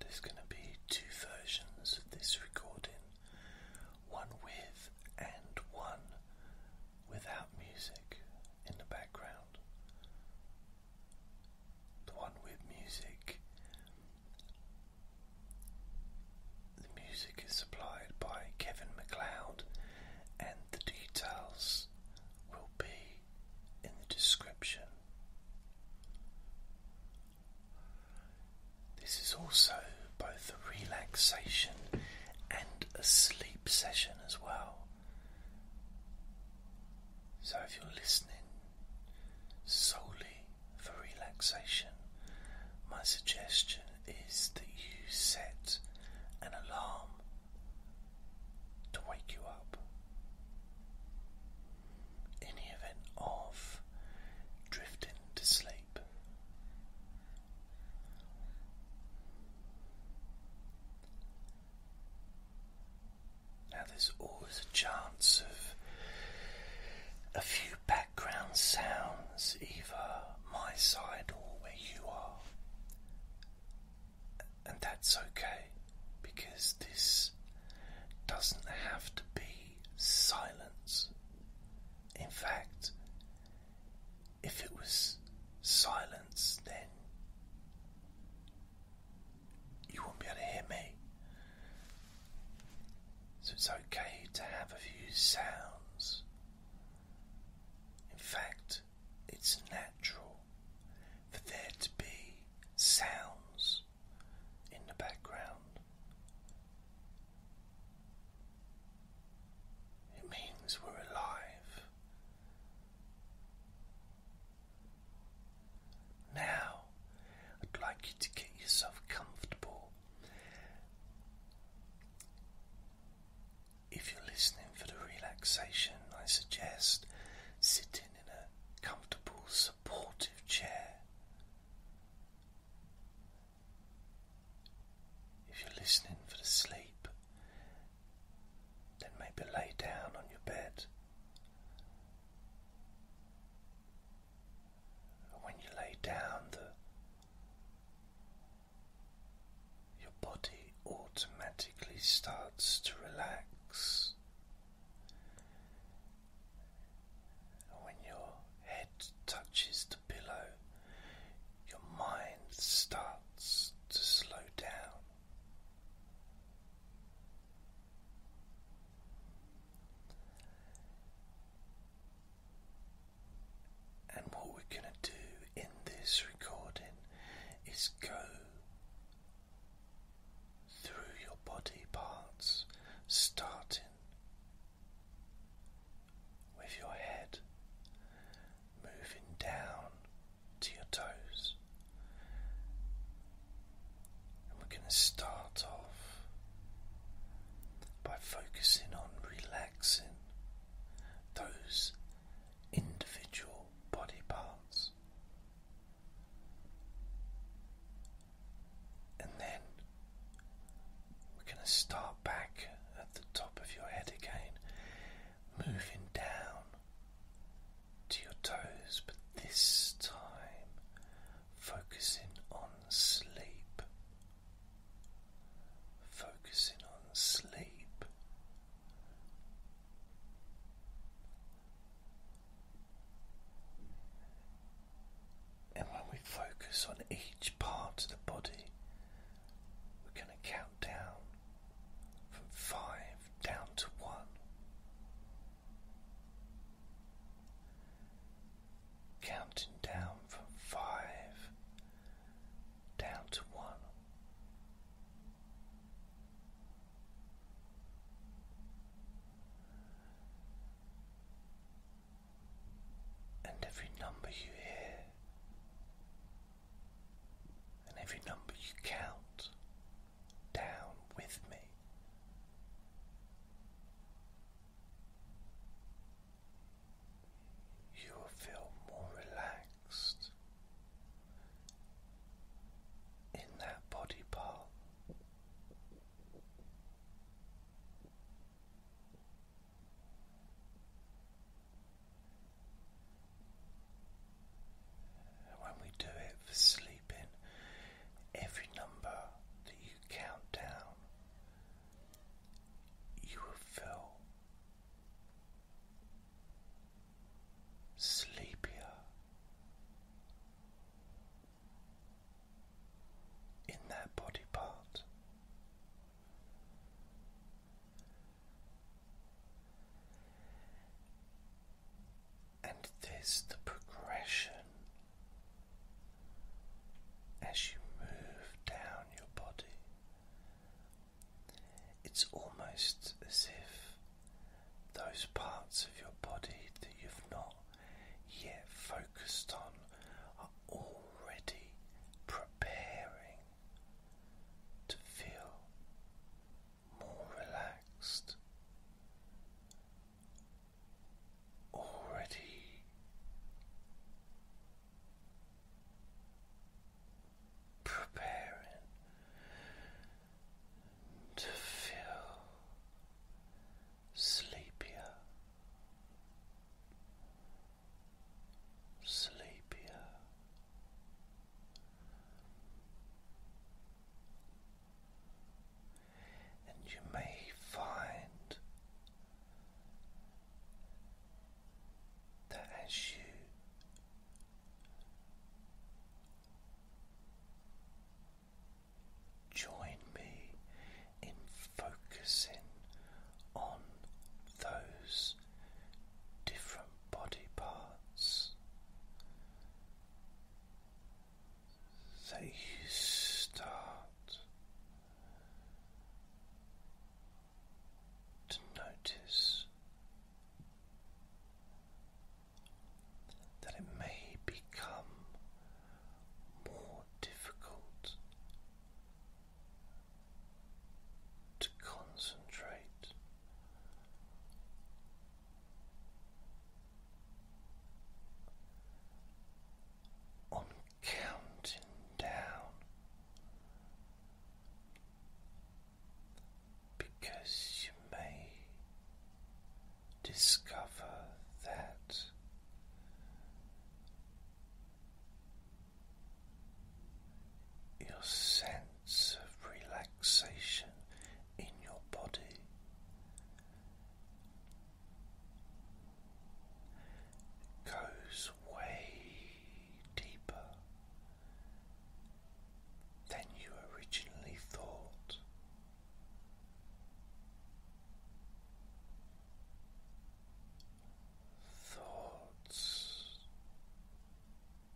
There's going to be two versions of this recording one with and one without music in the background. The one with music, the music is supplied by Kevin McLeod and the details will be in the description. This is also both a relaxation and a sleep session as well. So if you're listening solely for relaxation, my suggestion is that you set an alarm to wake you up in the event of drifting to sleep. Now, there's always a chance of a few background sounds, either my side or where you are, and that's okay because this doesn't have to be silence. In fact, if it was silence, then you wouldn't be able to hear me. So it's okay to have a few sounds. In fact, it's natural for there to be sounds in the background. It means we're alive. Now, I'd like you to get yourself comfortable if you're listening for the relaxation, I suggest sitting in a comfortable, supportive chair. If you're listening for the sleep, then maybe lay down on your bed. When you lay down, the your body automatically starts to relax. When your head touches the pillow, your mind starts to slow down. And what we're going to do in this recording is go through your body parts, starting with your head, moving down to your toes. And we're going to start off by focusing on relaxing those individual body parts, and then we're going to start back at the top of your head again, moving down to your toes, but this time focusing on sleep. Focusing on sleep, and when we focus on each part of the body, we're going to count down from five down to one. Counting down from five down to one. And every number you hear, and every number you count down with me. You will feel more relaxed in that body part. When we do it for sleeping, every number that you count down, you will feel sleepier in that body part. And this, the progression as you move down your body it's almost as if those parts of your body that you've not yet focused on are already preparing to feel more relaxed, already preparing to feel sleepier, sleepier. And you may find that as you join me in focusing on those different body parts that you start to notice that it may become more difficult to concentrate. On counting down because you may discover that your sense of relaxation in your body goes way deeper than you originally thought. Thoughts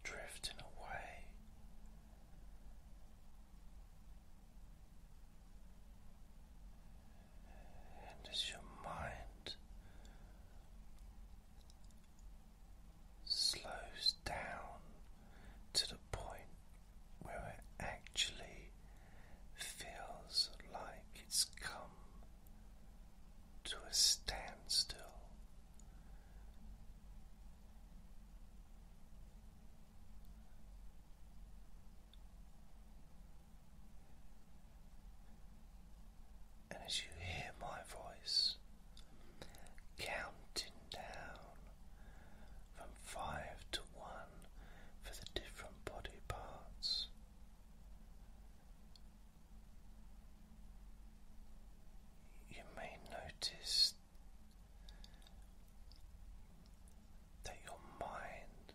drifting away. And as your mind slows down to the point where it actually feels like it's come to a standstill. And as you hear my voice counting down from five to one for the different body parts. You may notice that your mind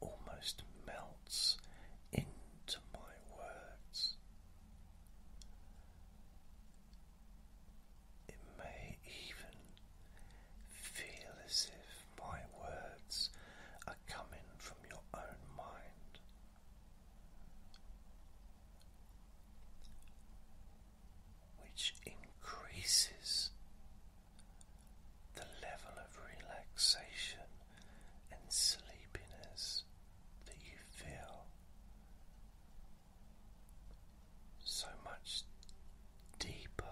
almost melts into my words, it may even feel as if my words are coming from your own mind. Which increases the level of relaxation and sleepiness that you feel so much deeper,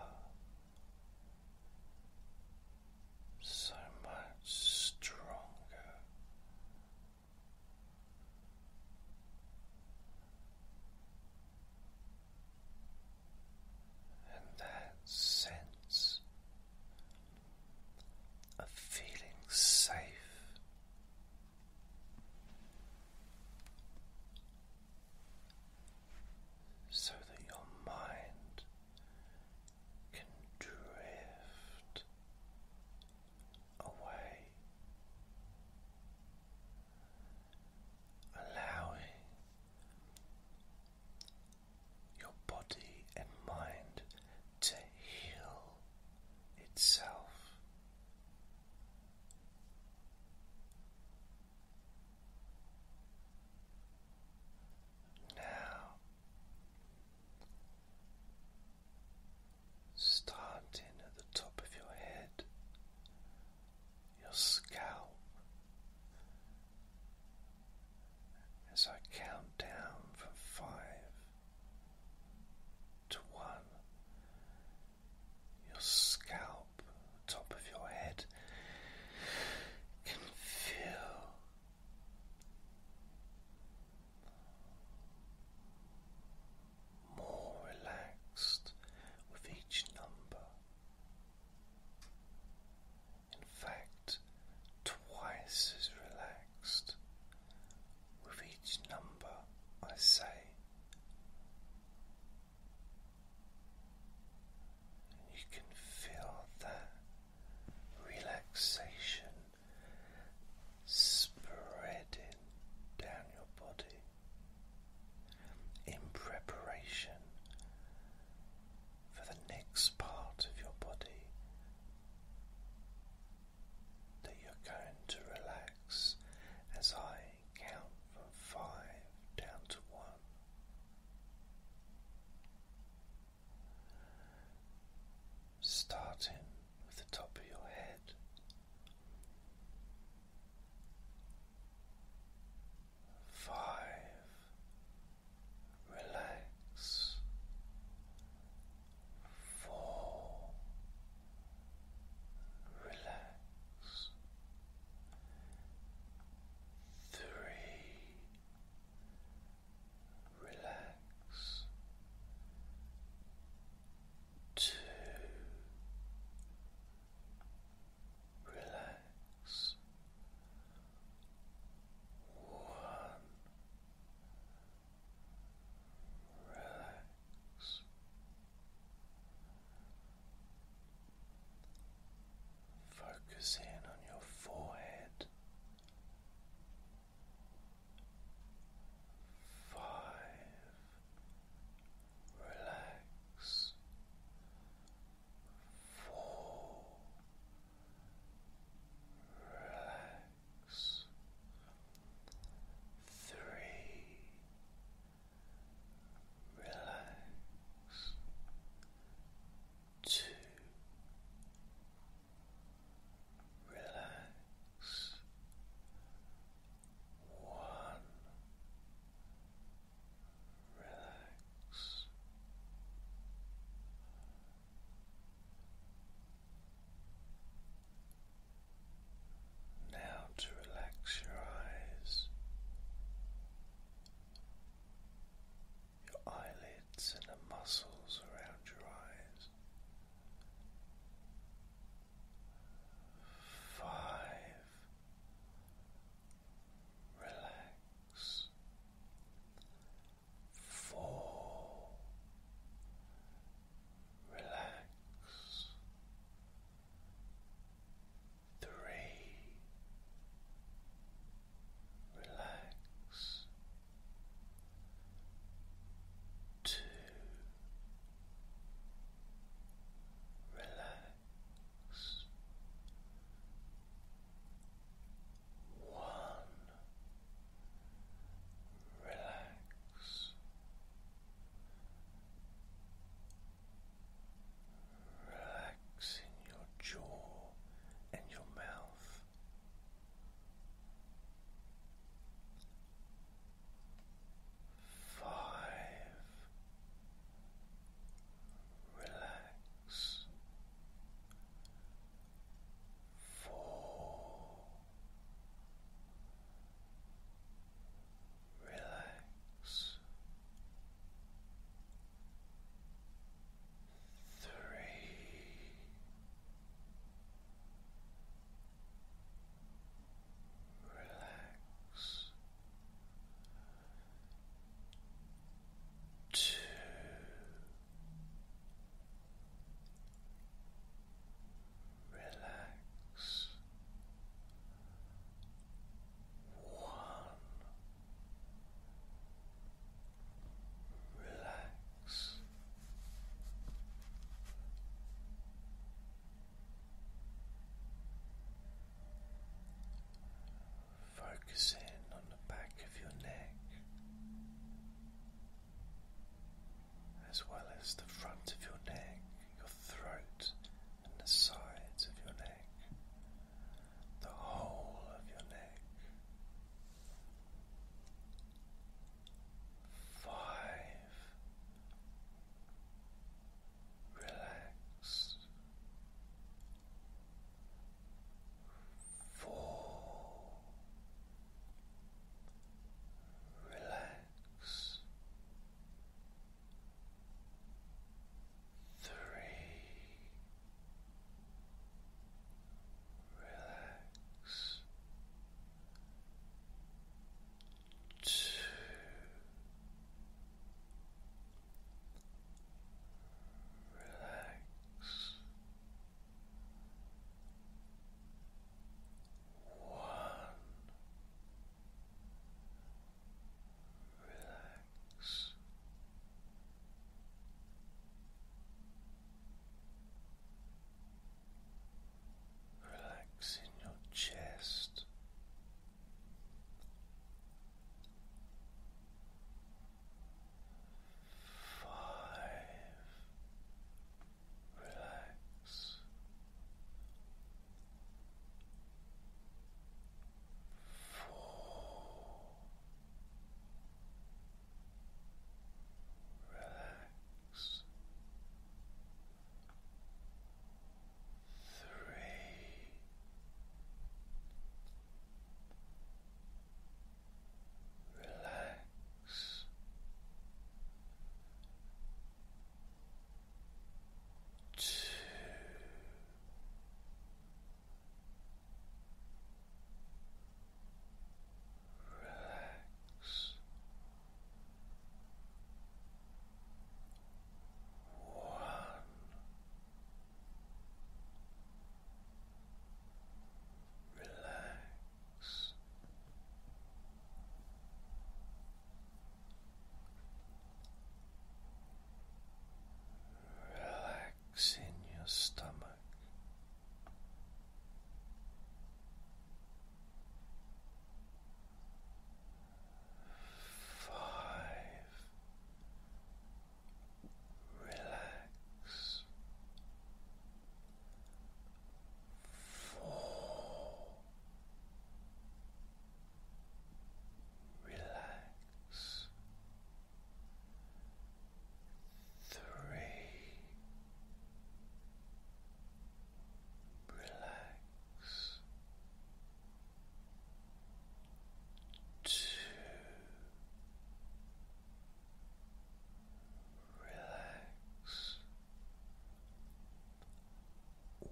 so much stronger. And that sense of feeling safe. So that your mind can drift away, allowing your body and mind to heal itself. Now, starting at the top of your head, your scalp, as I count down from five to one. Your scalp, top of your head, can feel more relaxed with each number. In fact, twice as relaxed with each number I say. And you can feel that relaxation spreading down your body in preparation for the next part of your body that you're going to relax as I count from five down to one. Starting with the top of your head, five, relax, four, relax, three, relax, two. Relax. One relax. Focus in on your forehead, five, relax, four, relax three, relax, two, relax, one, relax. Now to relax your eyes, your eyelids, and the muscles around your eyes. Five. Relax. Four relax three relax two relax one relax relaxing your jaw and your mouth. Five. Relax. Four relax three. Relax two relax one relax Focus in on the back of your neck as well as the front of your neck, your throat, and the sides of your neck, the whole of your neck. Five. Relax. Four. Relax. Three, relax. Two, relax. Relax. Relax in your chest. Five, relax. Four. Relax. Three. Relax two, relax, one. Relax Relax in your stomach. Five. Relax four. Relax. Three. Relax. Two relax one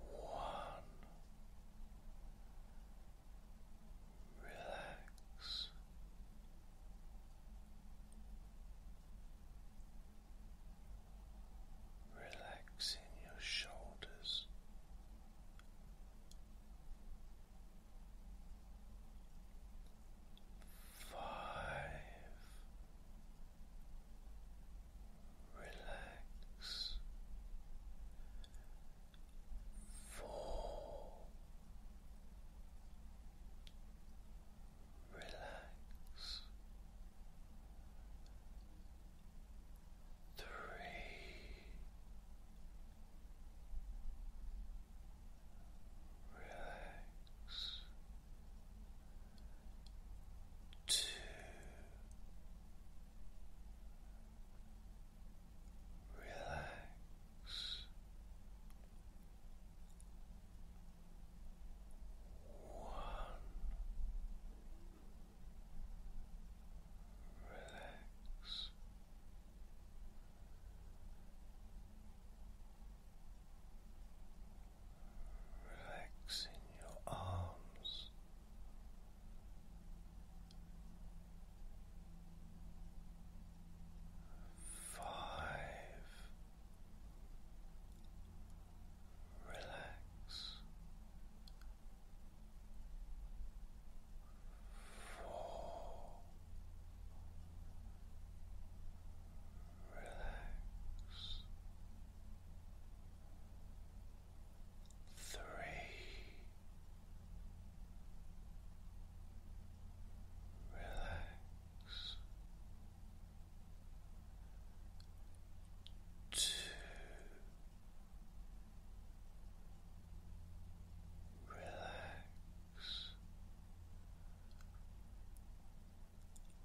relax relaxing your shoulders Five, relax four relax three relax two, relax. One, relax. Relax in your arms. Five, relax. Four, relax three. Relax two relax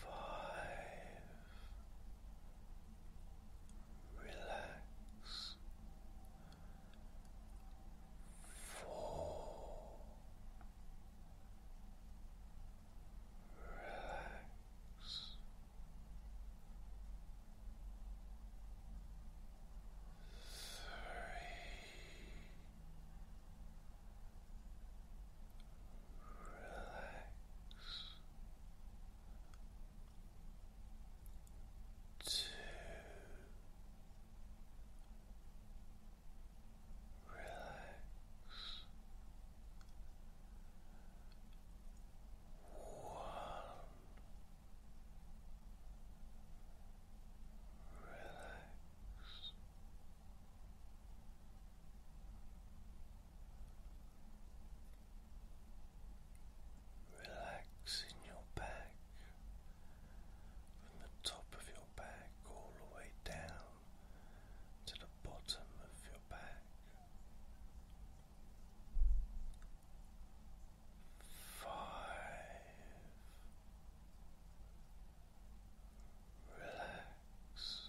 five, relax, four, relax. Three, Relax. Two. Relax. One. Relax. Relaxing your back from the top of your back all the way down to the bottom of your back. Five. Relax.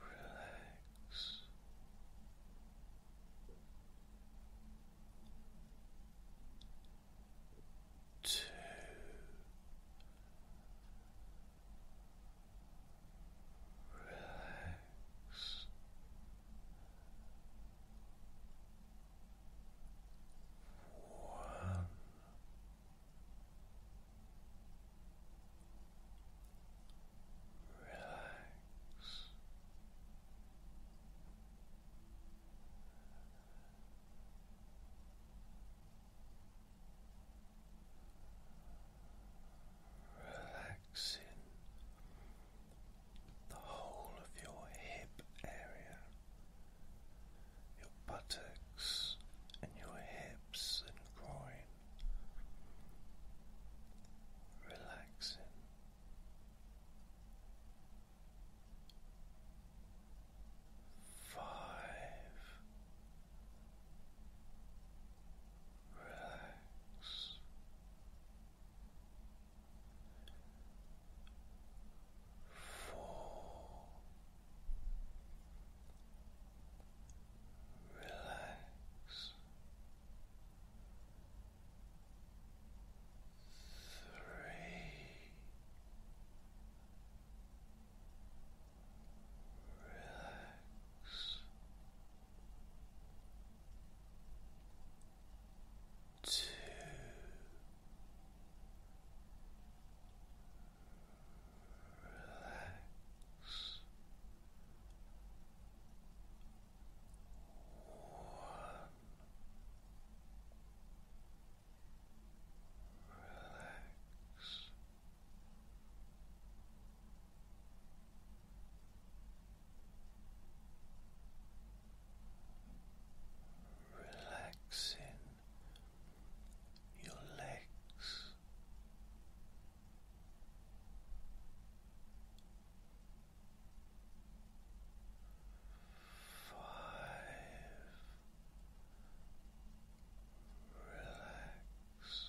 relax. Two. Relax. One. Relax. in the whole of your hip area, your buttocks and your hips and groin relaxing. Five relax four relax three relax two relax Relax. Relaxing your legs, Relax. Four. Relax.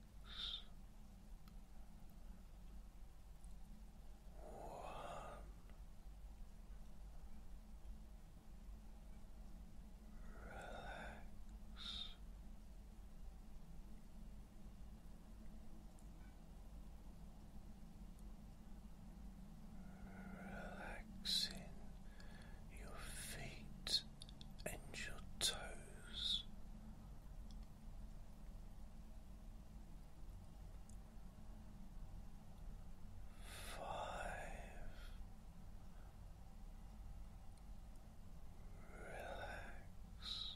relax. Relaxing your feet and your toes. Relax. Four. Relax.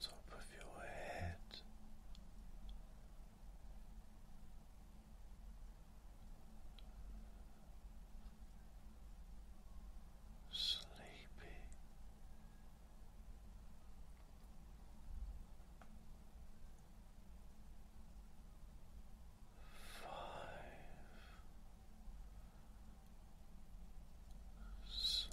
top of your head. Sleepy. Sleep. Four.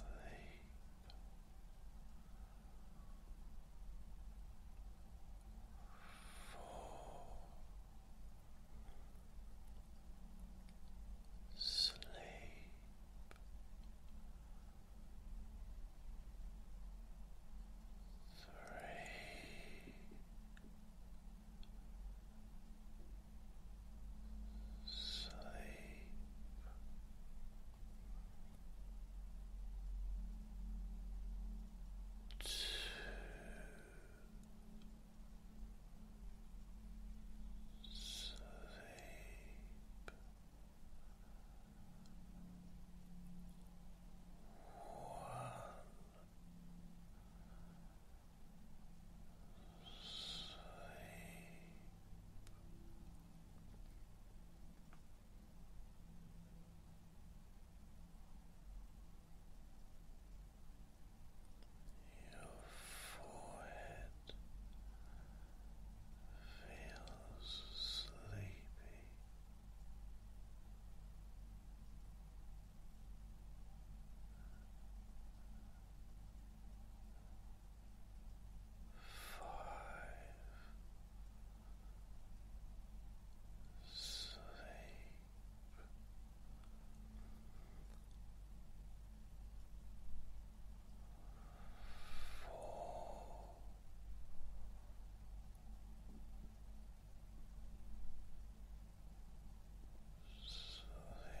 Sleep three, sleep. Two, sleep. Your forehead feels sleepy. Five sleep four, sleep. Three,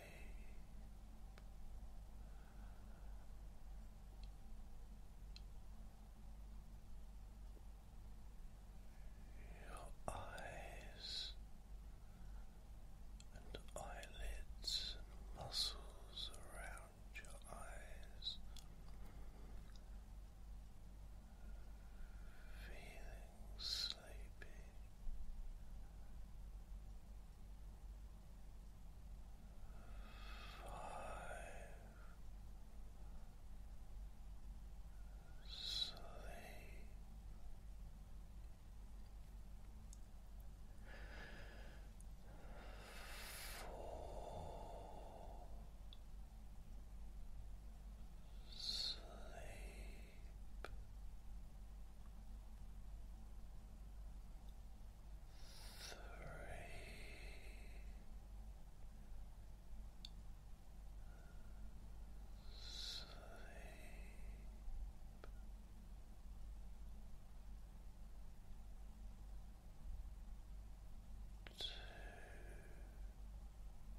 your eyes and eyelids and muscles around your eyes. Feeling sleepy. Five. Sleep. Four. Sleep. Sleep. Two.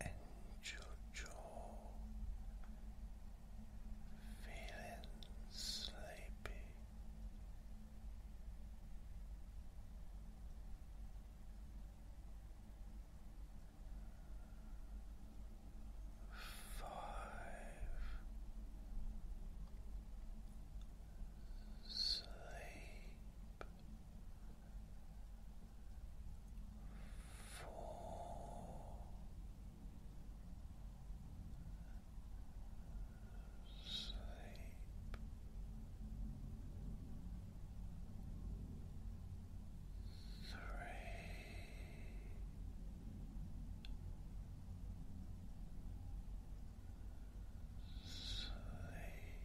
and your feeling sleepy. Five sleep Sleep. Three. Sleep.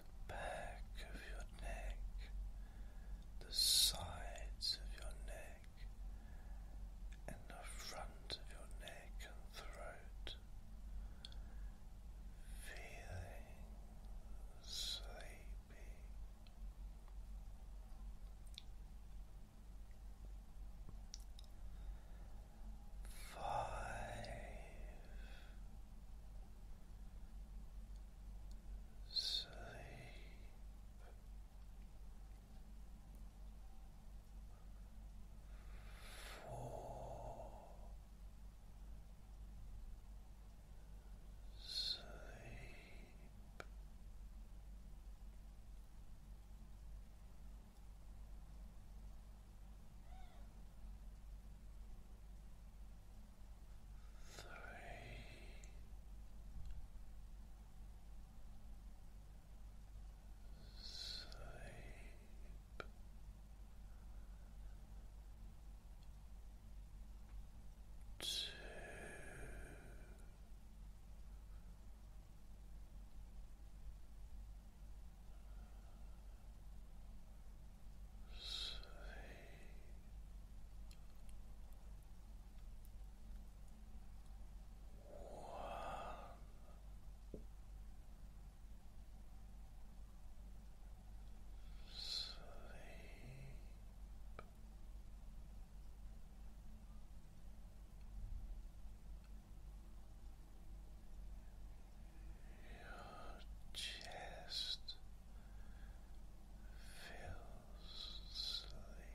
The back of your neck, the sides of your neck, and the front of your neck and throat feeling sleepy. Five, sleep, four, Sleep. Three. Sleep. Two. Sleep sleep. Your chest feels sleepy.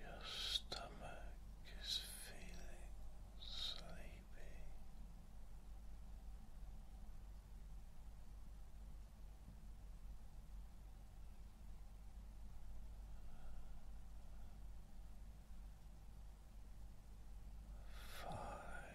Your stomach is feeling sleepy. Five.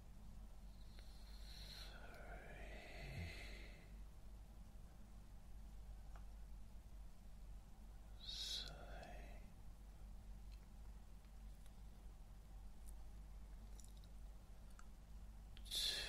Say two. Say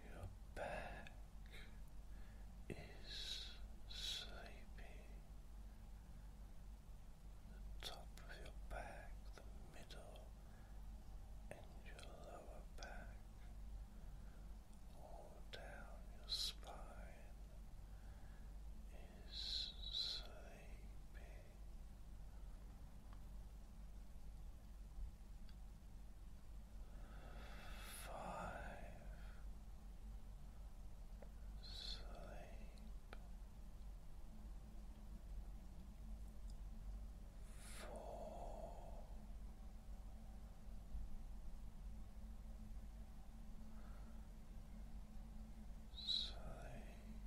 Your back is sleepy. The top of your back, the middle, and your lower back, all down your spine is sleepy. Five. Sleep. Four. Sleep.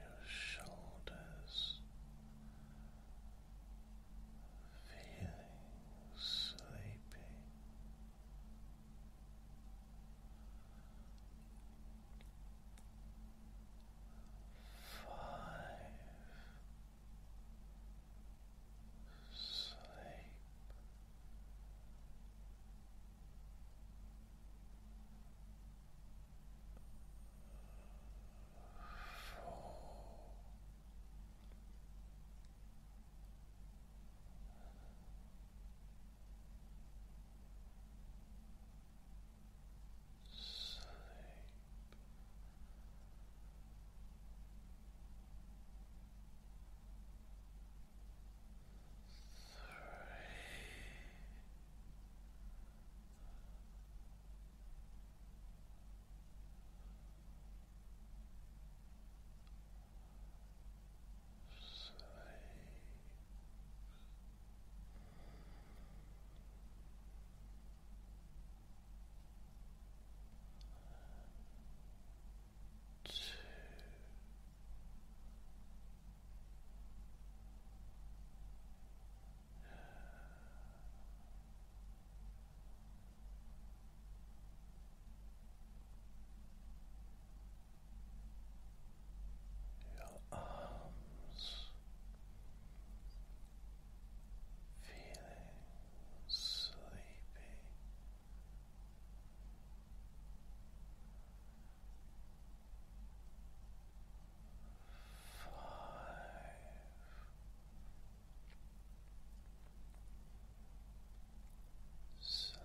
Your shoulders feeling sleepy. Five sleep. Four sleep. Three. Sleep. Two. Your arms feeling sleepy. Five. Sleep.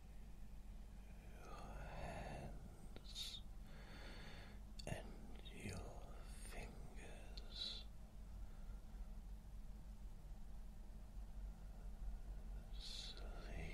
hands and your fingers. Sleepy.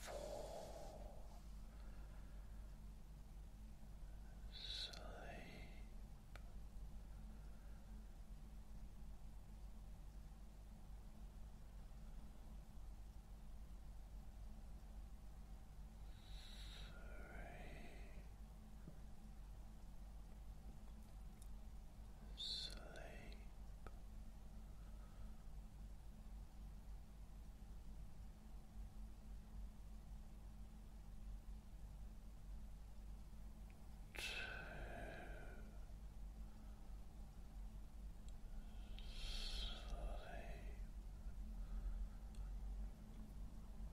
Fall asleep. Three. Sleep. Two. Sleep.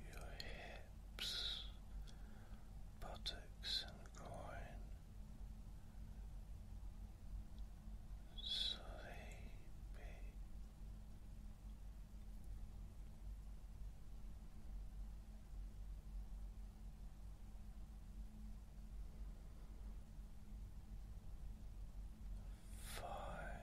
your hips, buttocks, and groin. Sleepy. Five.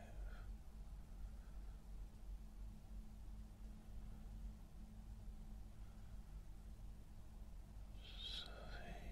Sleep.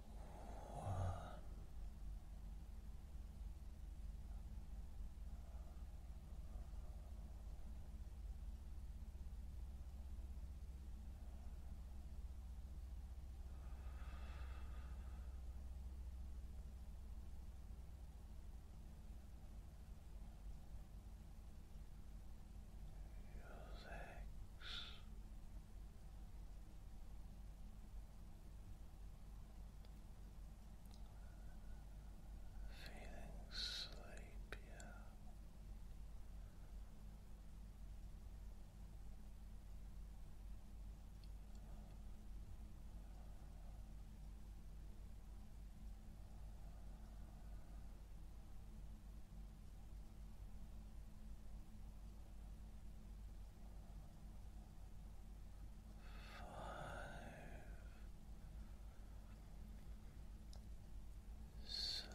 Your legs Feeling sleepier. Sleep.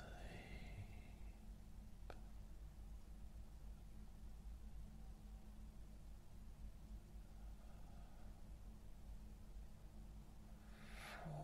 Four.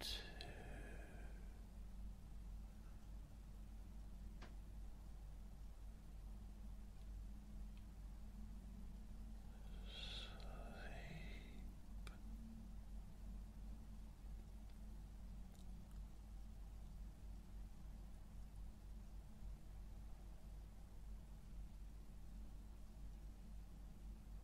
two, Sleep.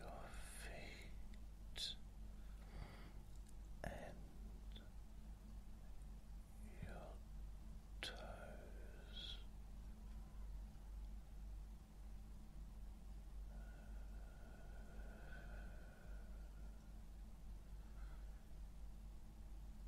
your feet and your toes.